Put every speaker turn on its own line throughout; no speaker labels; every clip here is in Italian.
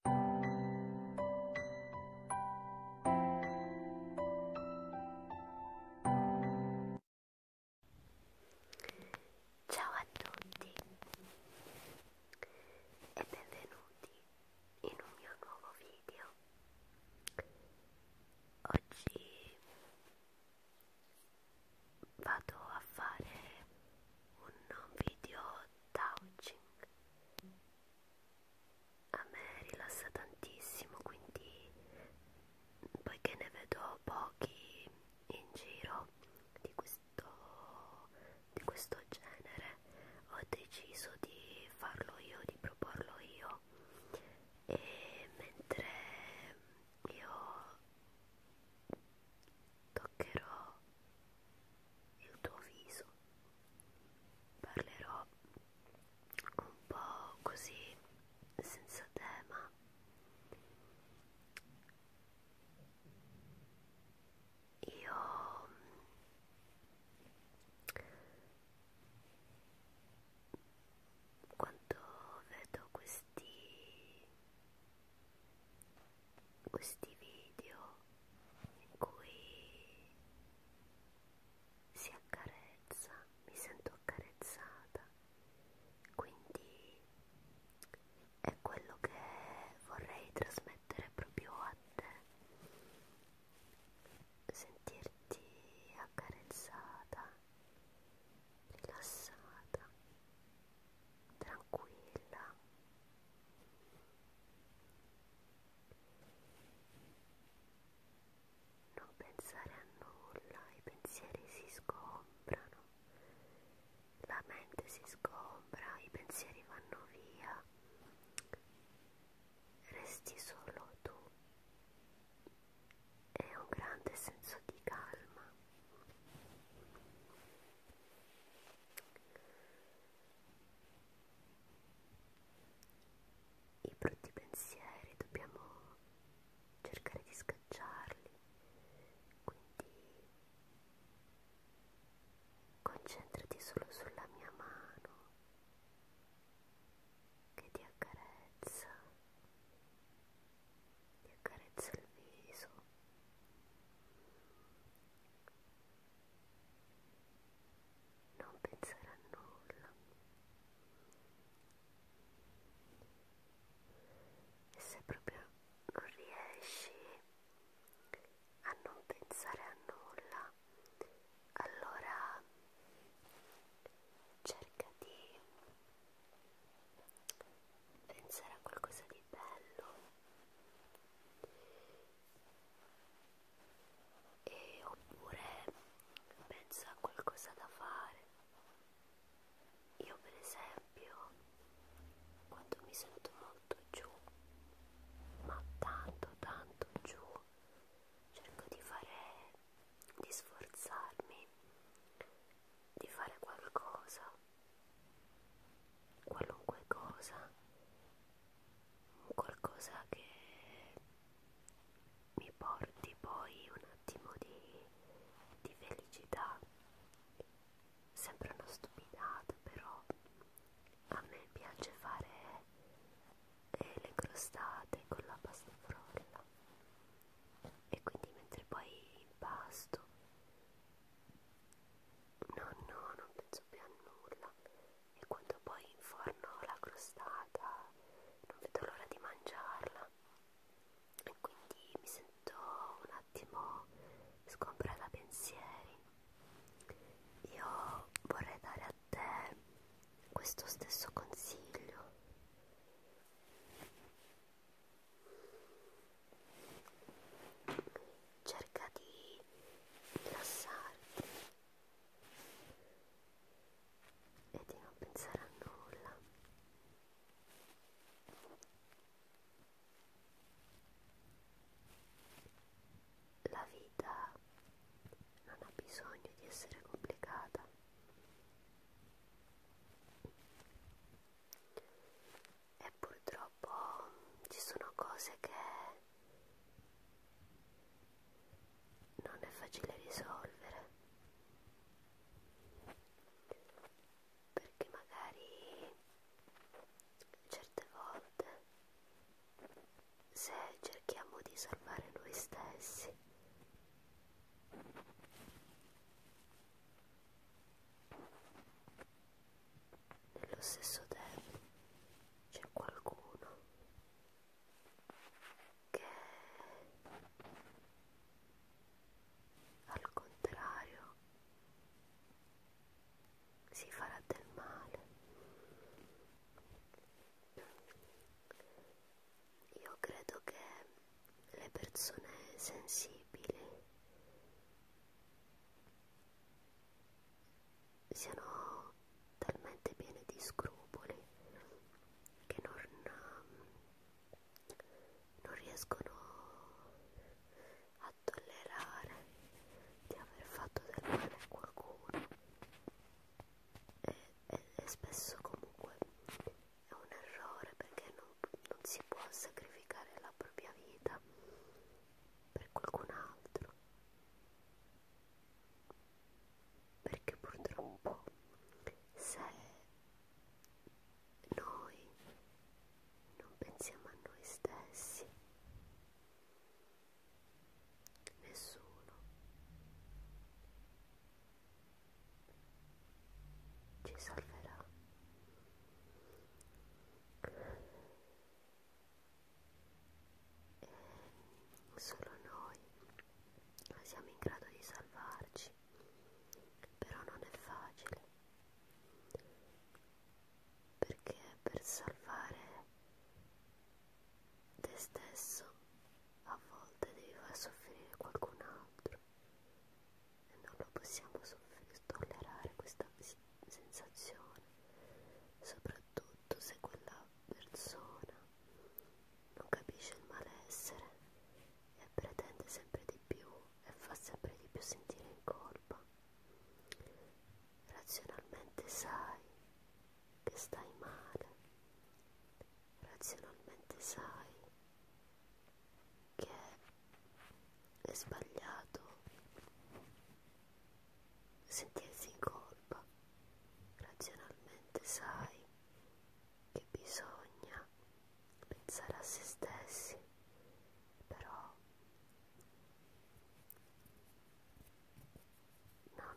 Ciao a tutti e benvenuti in un mio nuovo video. Oggi vado a fare un video touching a me rilassa tantissimo quindi poiché ne vedo pochi in giro di questo, di questo genere ho deciso di farlo io di proporlo io e mentre io toccherò il tuo viso parlerò un po' così senza tema io quando vedo questi questi video in cui si accarezza, mi sento accarezzata, quindi è quello che vorrei trasmettere proprio a te, sentirti accarezzata, rilassata tranquilla non pensare a nulla i pensieri si sgombrano la mente si sgombra i pensieri vanno via resti solo tu è un grande senso di calma i brutti pensieri dobbiamo cercare di scacciarli, quindi concentrati solo sulla mia mano che ti accarezza, ti accarezza il viso non pensare a nulla e se proprio non riesci a non pensare a nulla allora cerca di pensare a qualcosa di bello e oppure penso a qualcosa da fare io per esempio quando mi sento molto giù ma tanto tanto giù cerco di fare di sforzarmi di fare qualcosa qualunque cosa, qualcosa che mi porti poi un attimo di, di felicità. Sembra una stupidata, però a me piace fare eh, le crostate con la pasta frolla e quindi mentre poi impasto No, no, non penso più a nulla. E quando poi inforno la crostata, non vedo l'ora di mangiarla. E quindi mi sento un attimo sgombra da pensieri. Io vorrei dare a te questo stesso consiglio cerca di rilassarti e di non pensare a nulla la vita non ha bisogno di essere complicata e purtroppo ci sono cose che non è facile risolvere perché magari certe volte se cerchiamo di salvare noi stessi nello stesso tempo c'è qualcuno che al contrario si farà del male. Io credo che le persone sensibili siano talmente piene di scrupoli che non, ehm, non riescono a tollerare di aver fatto del male a qualcuno e, e, e spesso comunque è un errore perché non, non si può sacrificare la propria vita per qualcun altro perché purtroppo se noi non pensiamo a noi stessi nessuno ci salverà e solo noi siamo in grado di salvarci però non è facile perché per salvare te stesso a volte devi far soffrire qualcun altro e non lo possiamo tollerare questa sensazione, soprattutto se quella persona non capisce il malessere e pretende sempre di più e fa sempre di più sentire in colpa. Razionalmente sai che stai male, razionalmente sai che è sbagliato sentirsi in colpa razionalmente sai che bisogna pensare a se stessi però non,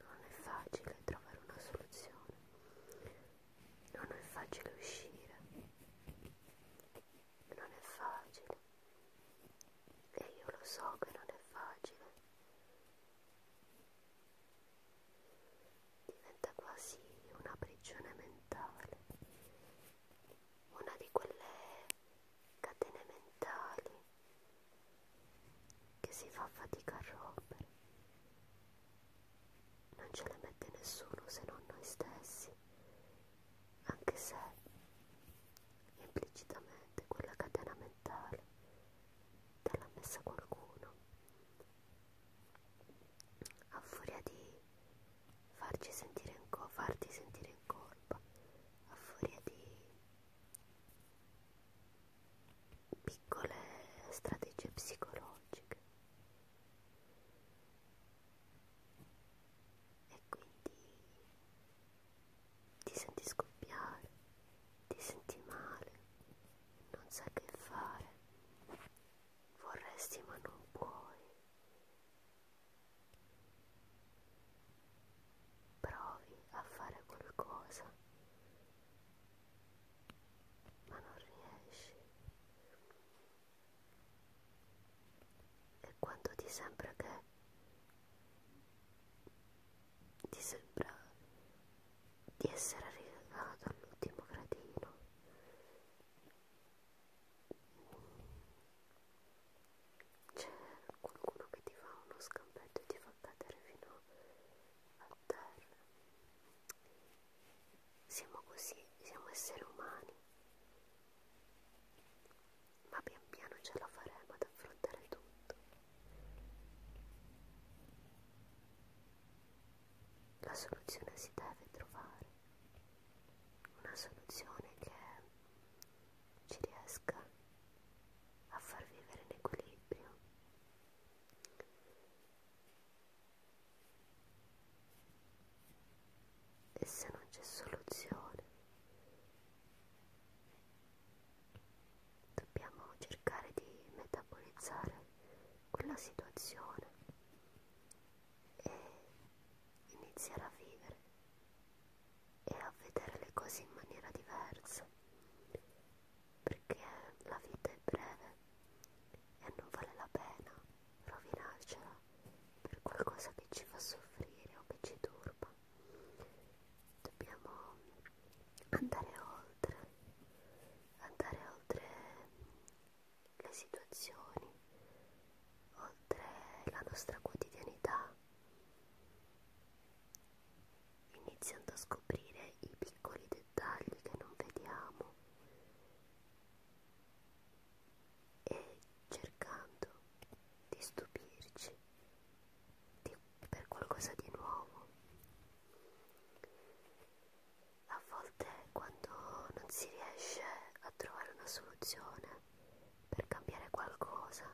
non è facile trovare una soluzione non è facile uscire, non è facile e io lo so che non è facile. Diventa quasi una prigione mentale, una di quelle catene mentali che si fa fatica a rompere non ce le mette nessuno se non noi stessi, anche se implicitamente quella catena mentale te l'ha messa qualcuno. A furia di farci sentire in farti sentire in colpa, a furia di piccole strategie psicologiche e quindi ti senti scoppiare, ti senti male, non sai che fare, vorresti ma non puoi, provi a fare qualcosa ma non riesci e quando ti sembra che ti sembra di essere arrivato all'ultimo gradino c'è qualcuno che ti fa uno scampetto e ti fa cadere fino a terra siamo così, siamo esseri umani, ma pian piano ce la faremo ad affrontare tutto. La soluzione si deve trovare, una soluzione che ci riesca a far vivere in equilibrio e se non c'è soluzione dobbiamo cercare di metabolizzare quella situazione e iniziare a vivere e a vedere le cose in maniera diversa perché la vita è breve e non vale la pena rovinarcela per qualcosa che ci fa soffrire o che ci turba. Dobbiamo andare oltre, andare oltre le situazioni, oltre la nostra quotidianità iniziando a scoprire i piccoli dettagli che non vediamo e cercando di stupirci di, per qualcosa di nuovo. A volte quando non si riesce a trovare una soluzione per cambiare qualcosa,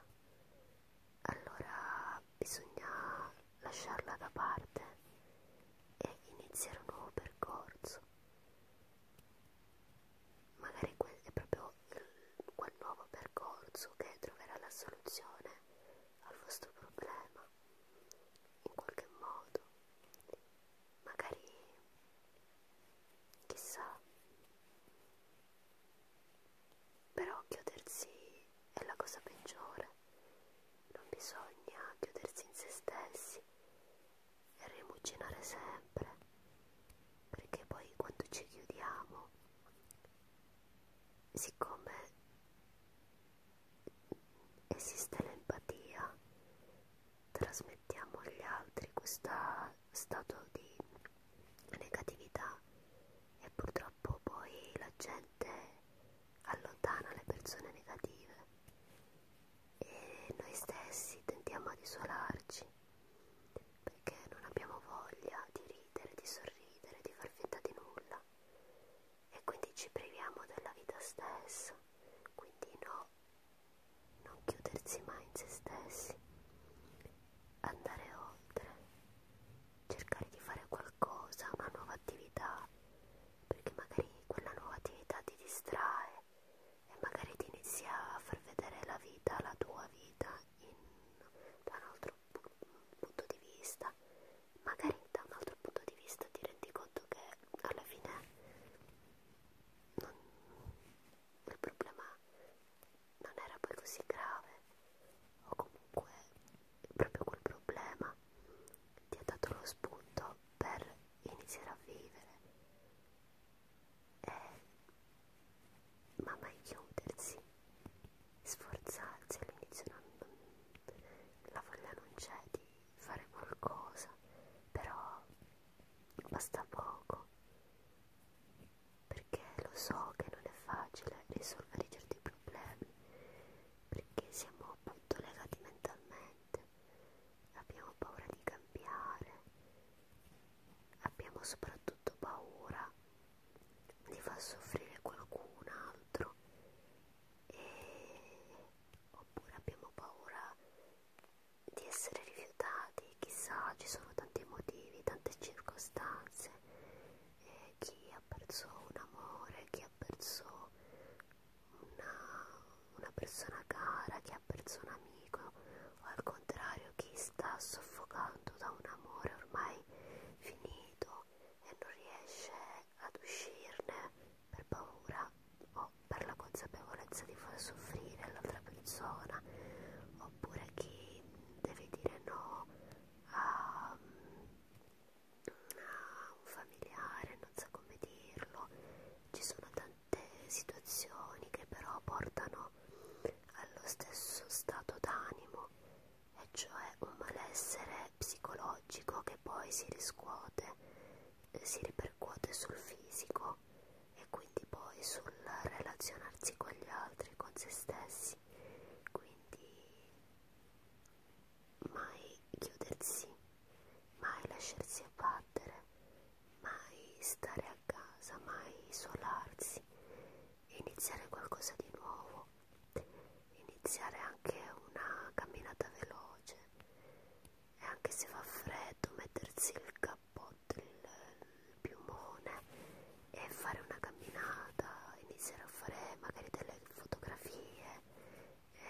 allora bisogna lasciarla da parte e iniziare un nuovo percorso. Magari è proprio quel nuovo percorso che troverà la soluzione al vostro problema, in qualche modo. Magari, chissà, però chiudersi è la cosa peggiore, non bisogna chiudersi in se stessi e rimuginare sempre, perché poi quando ci chiudiamo, siccome esiste l'empatia, trasmettiamo agli altri questo stato di negatività e purtroppo poi la gente sicuramente allontana le persone negative e noi stessi tentiamo ad isolarci perché non abbiamo voglia di ridere, di sorridere, di far finta di nulla e quindi ci priviamo della vita stessa, quindi no, non chiudersi mai in se stessi, andare oltre, cercare di fare qualcosa, una nuova attività, perché magari quella nuova attività ti distrae e magari ti inizia a far vedere la vita, la tua vita, in, da un altro punto di vista. Magari da un altro punto di vista ti rendi conto che alla fine non, il problema non era poi così grave o comunque proprio quel problema ti ha dato lo spunto per iniziare a vivere e eh, ma mai chiudersi sforzarsi all'inizio la voglia non c'è di fare qualcosa però basta poco perché lo so che non è facile risolvere certi problemi, perché siamo appunto legati mentalmente, abbiamo paura di cambiare, abbiamo soprattutto paura di far soffrire qualcun altro e... oppure abbiamo paura di essere rifiutati, chissà, ci sono tanti motivi, tante circostanze chi ha perso un amore, chi ha perso una, una persona cara, chi ha perso un amico o al contrario chi sta soffocando da un amore ormai finito e non riesce ad uscirne per paura o per la consapevolezza di far soffrire l'altra persona oppure chi deve dire no a, ehm, a un familiare, non so come dirlo, ci sono tante situazioni che però portano allo stesso stato d'animo, e cioè un malessere psicologico che poi si riscuote, si ripercuote sul fisico e quindi poi sul relazionarsi con gli altri, con se stessi diversi quindi mai chiudersi mai lasciarsi abbattere mai stare a casa mai isolarsi iniziare qualcosa di nuovo iniziare anche una camminata veloce e anche se fa freddo mettersi il cappotto del piumone e fare una camminata, iniziare a fare magari delle fotografie, e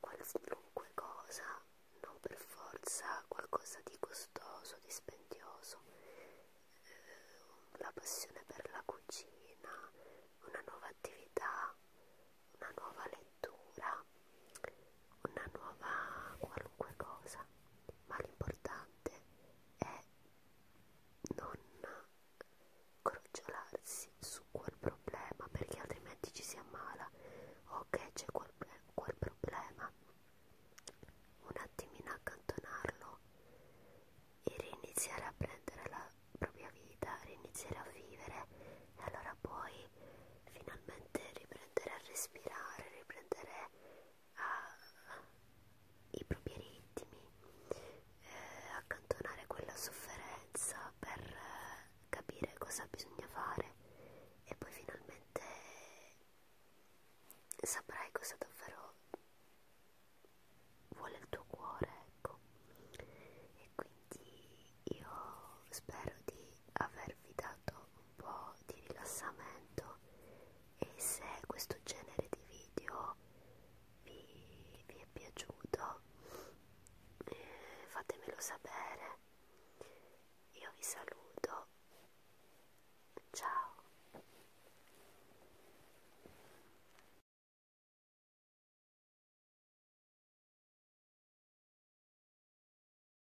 qualunque cosa, non per forza qualcosa di costoso, di spendioso, eh, la passione per la cucina, una nuova attività, una nuova lettura una nuova qualunque cosa, ma l'importante è non crogiolarsi su quel problema perché altrimenti ci si ammala. Ok, c'è quel, quel problema, un attimino accantonarlo e riniziare a prendere la propria vita, riniziare a vivere e allora poi finalmente riprendere a respirare, riprendere ai propri ritmi, eh, accantonare quella sofferenza per eh, capire cosa bisogna fare e poi finalmente saprai cosa davvero vuole il tuo cuore, ecco. E quindi io spero di avervi dato po' di rilassamento e se questo genere di video vi, vi è piaciuto eh, fatemelo sapere io vi saluto ciao